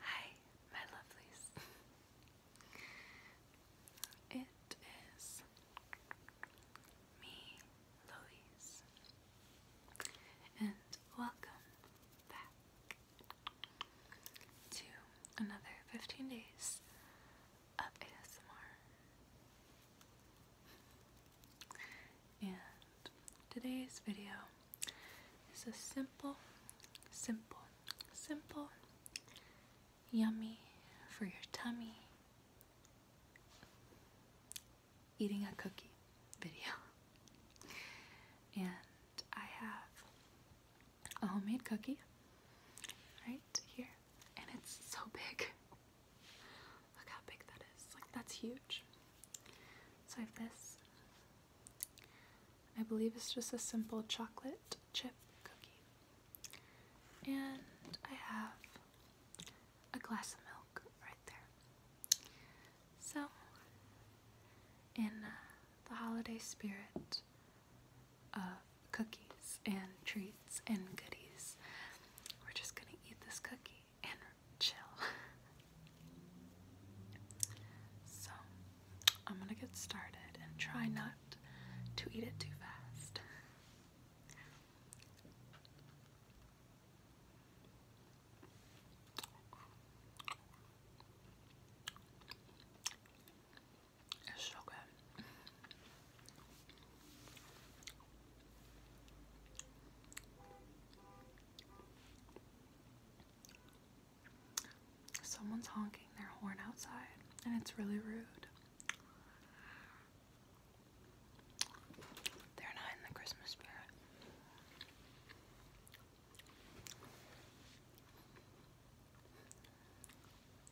Hi, my lovelies. it is me, Louise, and welcome back to another 15 days ASMR. And today's video is a simple, simple, simple, yummy for your tummy eating a cookie video. And I have a homemade cookie right here and it's so big. Look how big that is. Like, that's huge. So I have this. I believe it's just a simple chocolate chip cookie. And I have a glass of milk right there. So, in uh, the holiday spirit cookies and treats and goodies. We're just gonna eat this cookie and chill. so, I'm gonna get started and try not to eat it too fast. Someone's honking their horn outside, and it's really rude. They're not in the Christmas spirit.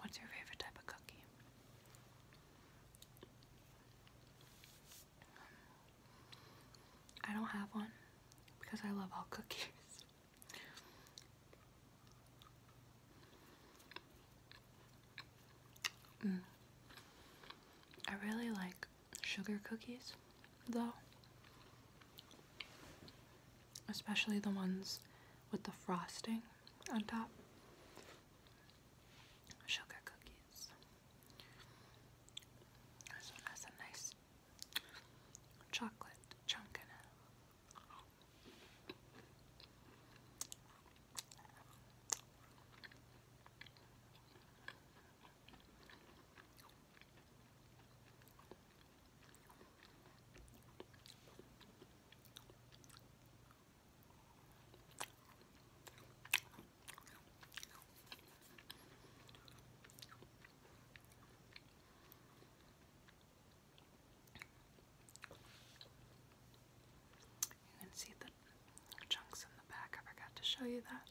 What's your favorite type of cookie? Um, I don't have one because I love all cookies. Mm. I really like sugar cookies though especially the ones with the frosting on top. Sugar cookies. This one has a nice chocolate chunk in it. You can see the chunks in the back. I forgot to show you that.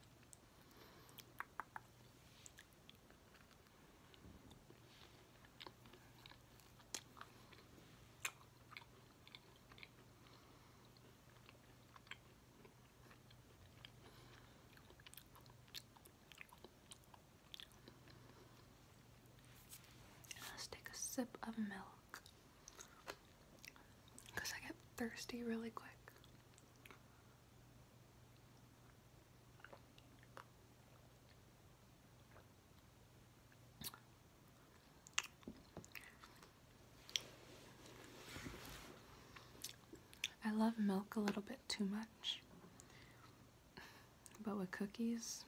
Let's take a sip of milk because I get thirsty really quick. I love milk a little bit too much, but with cookies,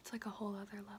it's like a whole other level.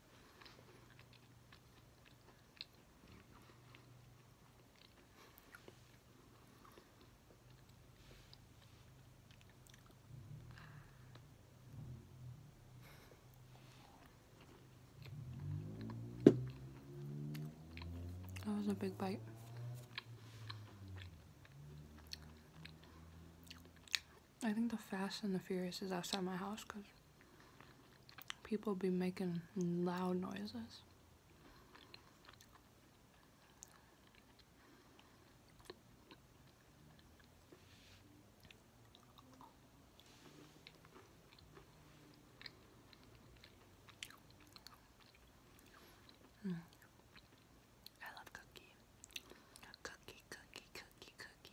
That was a big bite. I think the Fast and the Furious is outside my house because people be making loud noises. Mm. I love cookie. Cookie, cookie, cookie, cookie.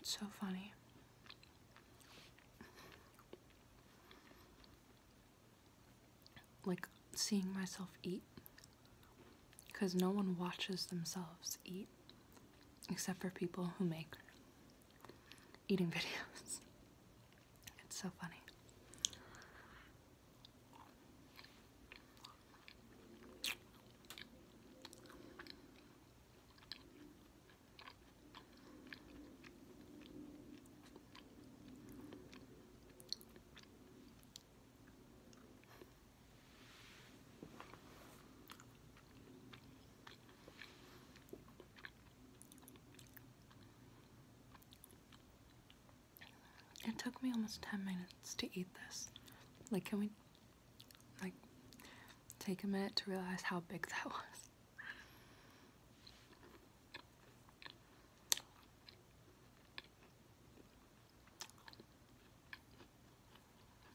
It's so funny. Like seeing myself eat because no one watches themselves eat except for people who make eating videos. It's so funny. It took me almost 10 minutes to eat this. Like, can we, like, take a minute to realize how big that was?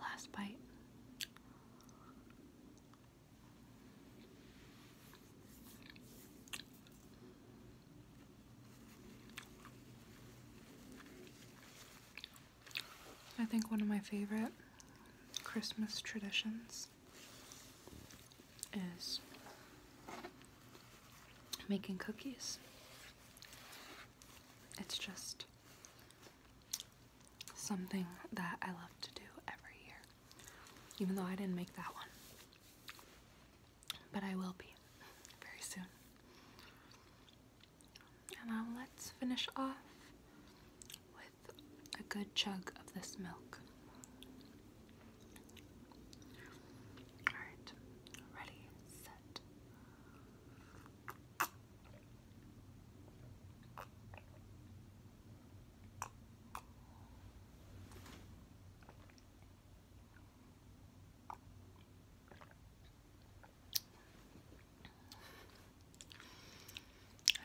Last bite. I think one of my favorite Christmas traditions is making cookies. It's just something that I love to do every year, even though I didn't make that one. But I will be very soon. And now um, let's finish off with a good chug of this milk. Alright, ready, set.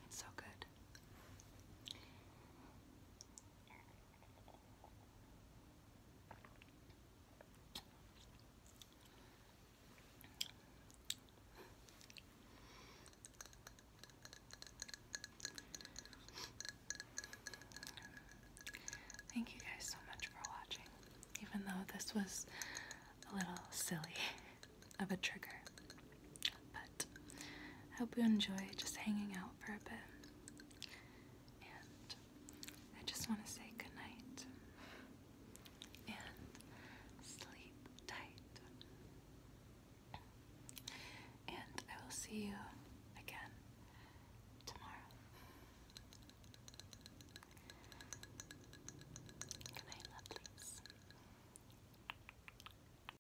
It's so good. Thank you guys so much for watching, even though this was a little silly of a trigger. But I hope you enjoy just hanging out for a bit. And I just want to say good night and sleep tight. And I will see you again tomorrow. Good night, lovelies.